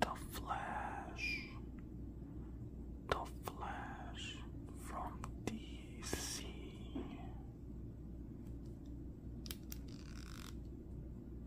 The flash, the flash from DC.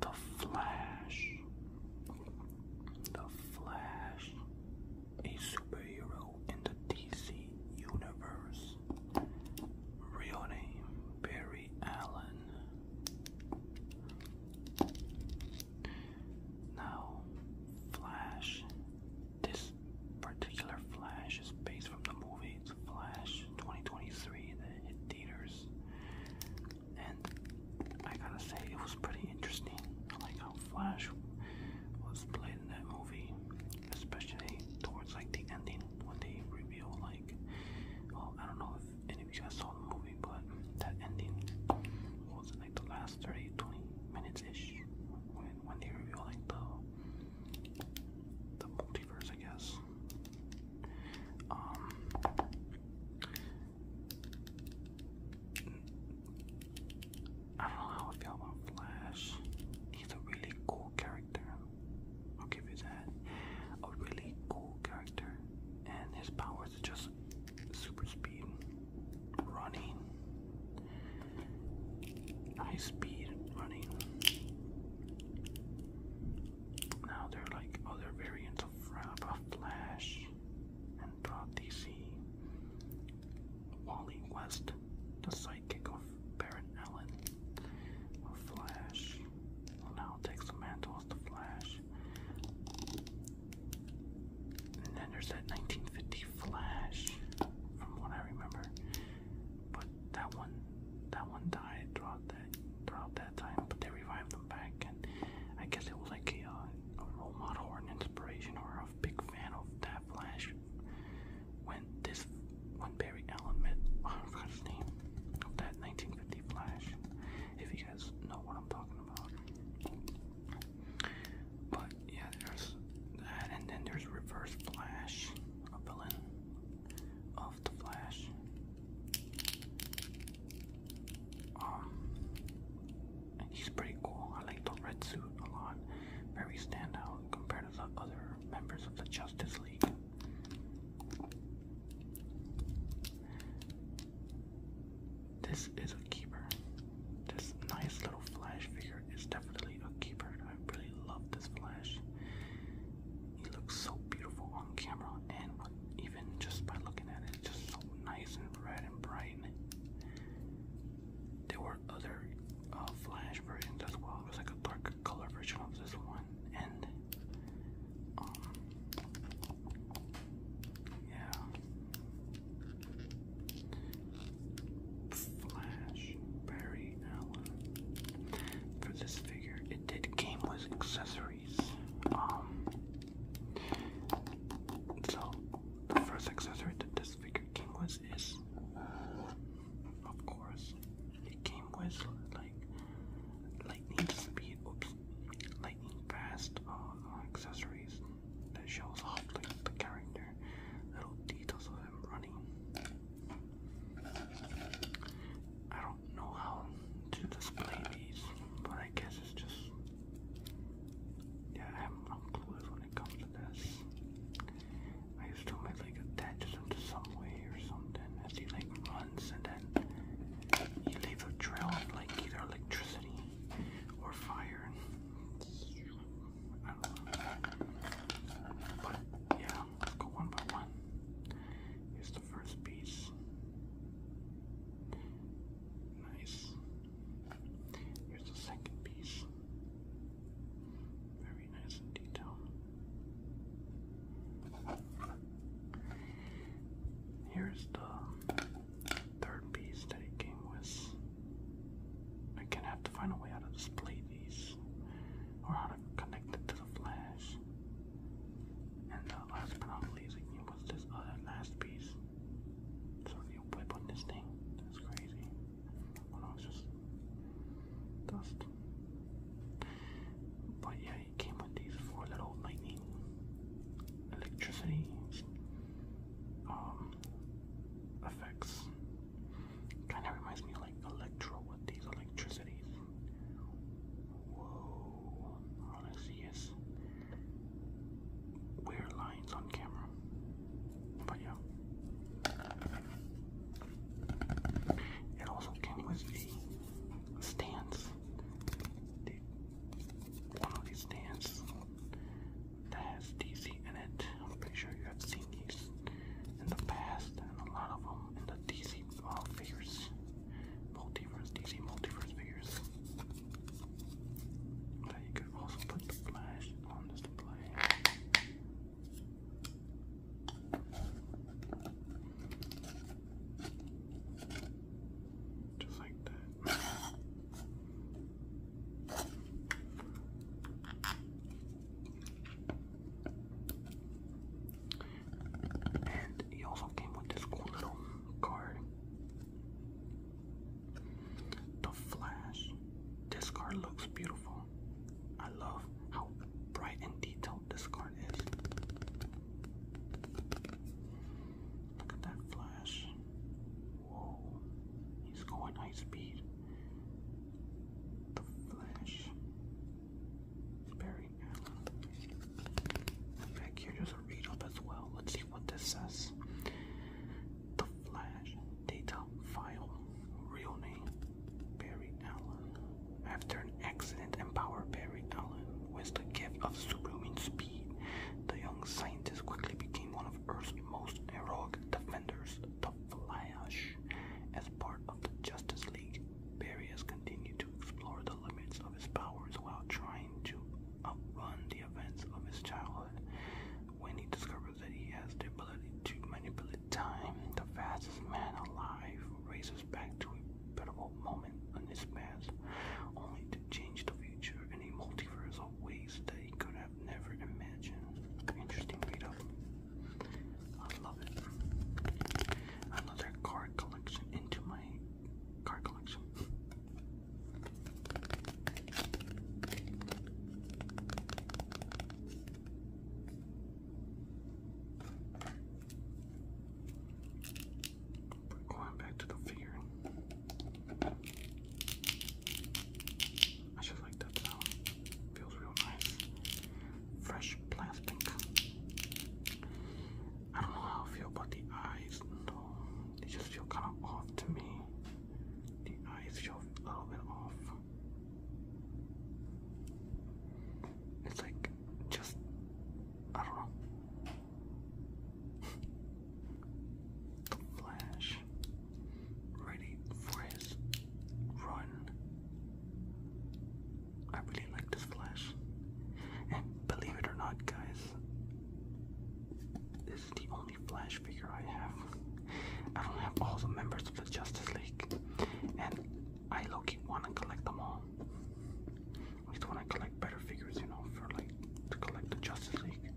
The Flash. The Flash a superhero in the DC universe. Real name Barry Allen. Now, Flash. This particular Flash is based from the movie Flash 2023 that hit theaters. And I gotta say, it was pretty interesting. I like how Flash was played in that movie, especially towards like the ending when they reveal like, well, I don't know if any of you guys saw the movie, but that ending was like the last 30, 20 minutes ish when when they reveal like the the multiverse, I guess. Um, I don't know how I feel about Flash. He's a really cool character. I'll give you that. A really cool character. And his powers are just super speed, running, high speed, running. Now there are like other variants of, of Flash and Bob DC. Wally West, the sidekick of Barrett Allen. The Flash will now take the mantle as the Flash. And then there's that 1950 Flash, from what I remember. But that one, that one died throughout that throughout that time. But they revived them back, and I guess it was like a uh, a role model or an inspiration or a big fan of that Flash. When this, when Barry Allen met, I oh his name, of that 1950 Flash, if you guys know what I'm talking about. But yeah, there's that, and then there's Reverse Flash, a villain of the Flash. Um, he's pretty cool. I like the red suit a lot. Very standout compared to the other members of the Justice League. This is a keeper. This nice little Flash figure is definitely a keeper. I really love this Flash. He looks so beautiful on camera and even just by looking at it just so nice and red and bright. There were other uh, flash versions as well. It was like a darker color version of this one, and um, yeah, Flash Barry Allen. For this figure, it did game with accessories. Um, so, the first accessory that this figure came with is, of course, it came with like lightning speed, oops, lightning fast uh, accessories that shows off like, the character, little details of him running. I don't know how to display these, but I guess it's just yeah, I have no clue when it comes to this. I used to like attach them some way or something as he like runs and then you leave a trail of like either electricity or fire. I don't know. go one by one. Here's the first piece. Nice. Here's the second piece. Very nice in detail. Here's the third piece that it came with. I can have to find a way how to display these or how to connect it to the flash. And last but not least, it came with this other last piece. So you whip on this thing. That's crazy. Oh no, it's just dust. But yeah, it came with these four little lightning electricity um, effects. Kind of reminds me like Electro with these electricities. Whoa, honestly, yes weird lines on camera. But yeah. It also came with the stands. one of these stands that DC in it. I'm pretty sure you have seen these in the past and a lot of them in the DC uh, figures. Multiverse, DC multiverse figures. But you could also put the flash on this display. Just like that. and he also came with this cool little card the Flash. This card looks beautiful. I love how bright and detailed this card is. Look at that flash. Whoa. He's going high speed. The Flash. Barry Allen. Back here, there's a read up as well. Let's see what this says. The Flash data file, real name Barry Allen. After an accident, empower Barry Allen with the gift of superhuman speed. The young scientist quickly became one of Earth's most heroic defenders, the Flash. As part of the Justice League, Barry has continued to explore the limits of his powers while trying to outrun the events of his childhood when he discovers that he has the ability to manipulate time. The fastest man alive races back to a pivotal moment in his past, only to change the future in a multiverse of ways that he could have never imagined. Interesting read up. I love it. Another card collection into my Car collection. going back to the figure. I just like that sound. Feels real nice. Fresh plastic. I don't know how I feel about the eyes, though. They just feel kind of off to me. The eyes feel a little bit off. It's like just I don't know. the Flash, ready for his run. I really like this Flash, and believe it or not, guys, the only Flash figure I have. I don't have all the members of the Justice League, and I low want to collect them all. I just want to collect better figures, you know, for like to collect the Justice League.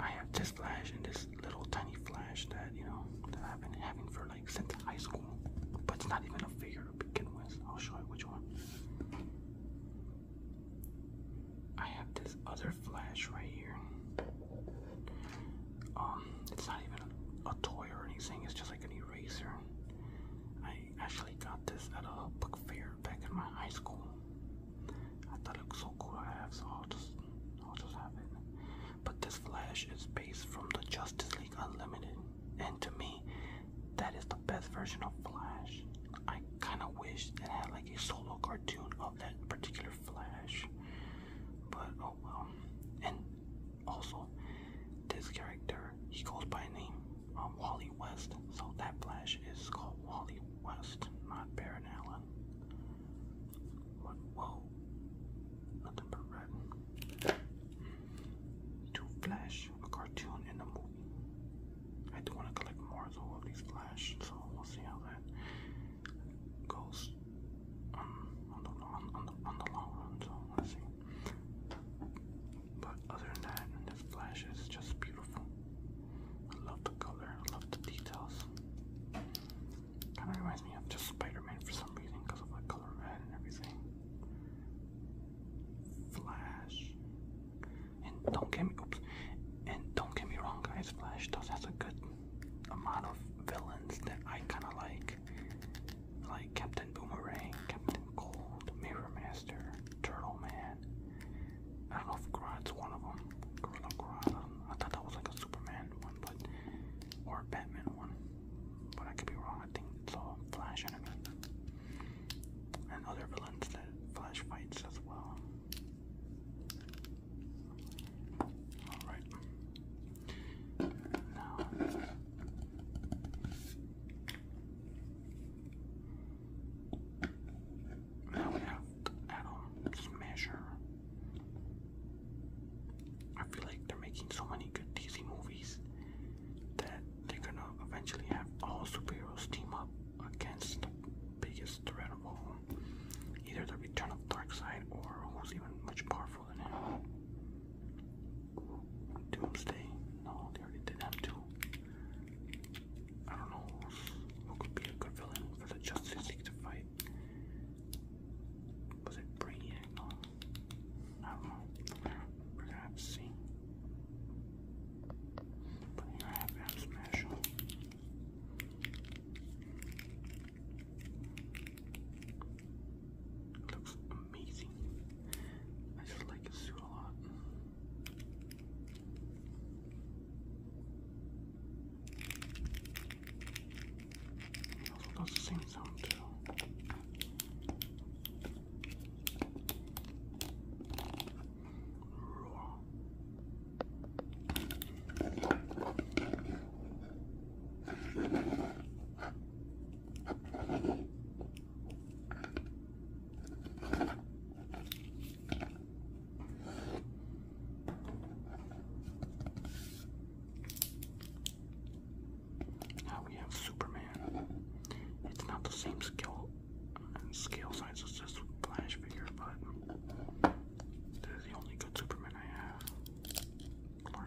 I have this Flash and this little tiny Flash that you know that I've been having for like since high school, but it's not even a figure to begin with. I'll show you which one. I have this other flash right here. Um, it's not even a, toy or anything, it's just like an eraser. I actually got this at a book fair back in my high school. I thought it was so cool I have, so I'll just I'll just have it. But this flash is based from the Justice League Unlimited. And to me, that is the best version of Flash. I kind of wish it had like a solo cartoon of that particular Flash, but oh well. And also, this character he goes by name um, Wally West, so that Flash is called Wally West, not Baron Allen. whoa, nothing but red. To Flash, a cartoon in the movie. I do want to collect more of these flash, so we'll see how that goes um, on, the, on, on, the, on the long run. So let's see. But other than that, this flash is just beautiful. I love the color. I love the details. Kind of reminds me of just Spider-Man for some reason because of the color red and everything. Flash. And don't get me oops. And don't get me wrong, guys. Flash does has a good amount of villains that I kind of like, like Captain Boomerang, Captain Cold, Mirror Master, Turtle Man. I don't know if Grodd's one of them. Gorilla Grodd. I, thought that was like a Superman one, but or Batman one, but I could be wrong. I think it's all Flash enemy and other villains that Flash fights as well. Alright. Now. Now we have Atom's Measure. I feel like they're making so many good DC movies that they're gonna eventually have all superheroes team up against the biggest threat of all. Either the return of Darkseid or who's even much powerful than him. Doomsday? No, they already did him too. I don't know who could be a good villain for the Justice League to fight. Was it Brainiac? No. I don't know. see. It looks amazing. I just like his suit a lot. also does the same sound too. Now we have Superman. It's not the same skill and scale size is just Flash figure, but this is the only good Superman I have. Clark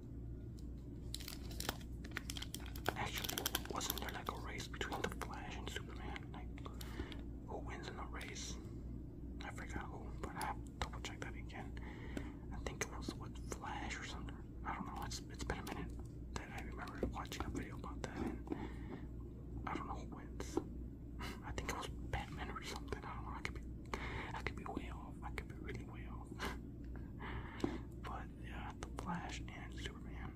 Actually, wasn't there like a race between the Flash and Superman? Like, who wins in the race? I forgot who, but I have to double check that again. I think it was with Flash or something. I don't know. It's it's been a minute that I remember watching a video about that, and I don't know who wins. I think it was Batman or something. I don't know. I could be I could be way off. I could be really way off. but got the Flash and Superman.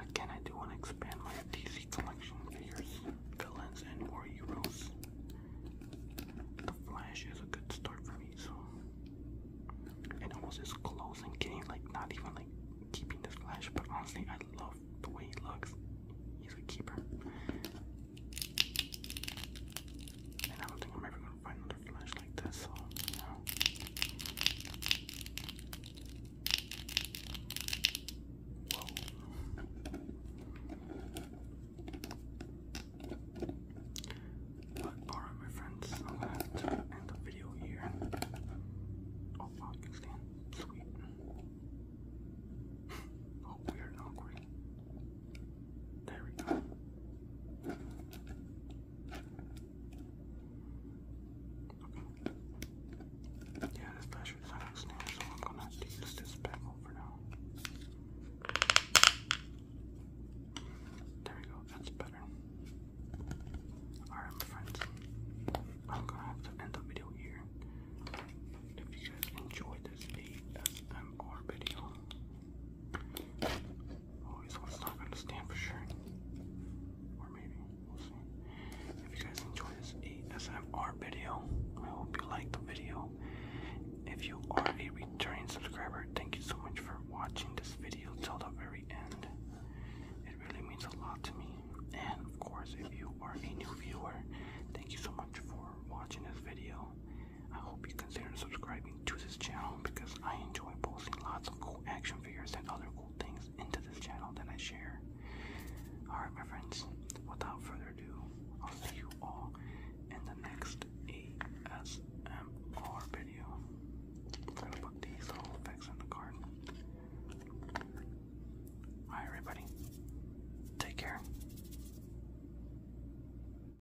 Again, I do want to expand my DC collection villains, and more heroes. The Flash is a good start for me, so and almost as close and getting like not even like keeping the Flash, but honestly, I love the way he looks. He's a keeper. And I don't think I'm ever gonna find another flash like this, so you But alright my friends, I'm gonna end the video here. Oh wow, you can stand. Sweet. oh, weird and awkward. There we go. Yeah, this pressure is not extended, so I'm gonna use this pebble for now. There we go, that's better. Alright, my friends, I'm gonna have to end the video here. If you guys enjoyed this ASMR video, Always want to stop for sure. Or maybe, we'll see. If you guys enjoyed this ASMR video, I hope you liked the video. If you are a returning subscriber, thank you so much for watching this video till the very end. It really means a lot to me. And of course, if you are a new viewer, thank you so much for watching this video. I hope you consider subscribing to this channel because I enjoy posting lots of cool action figures and other cool things into this channel that I share. Alright, my friends, without further ado, I'll see you all in the next ASMR video. I'm gonna put these little effects in the card. Alright, everybody, take care.